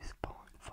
these pollen flow.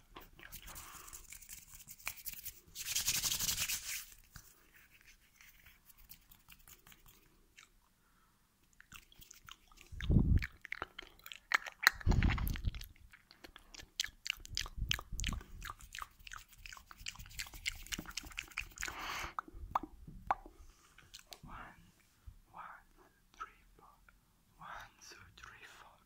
One, one, three, four. One, two, three, four.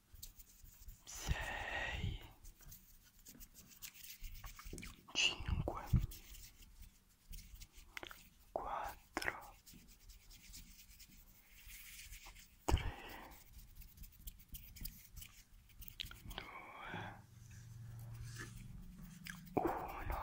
sei cinque quattro tre due uno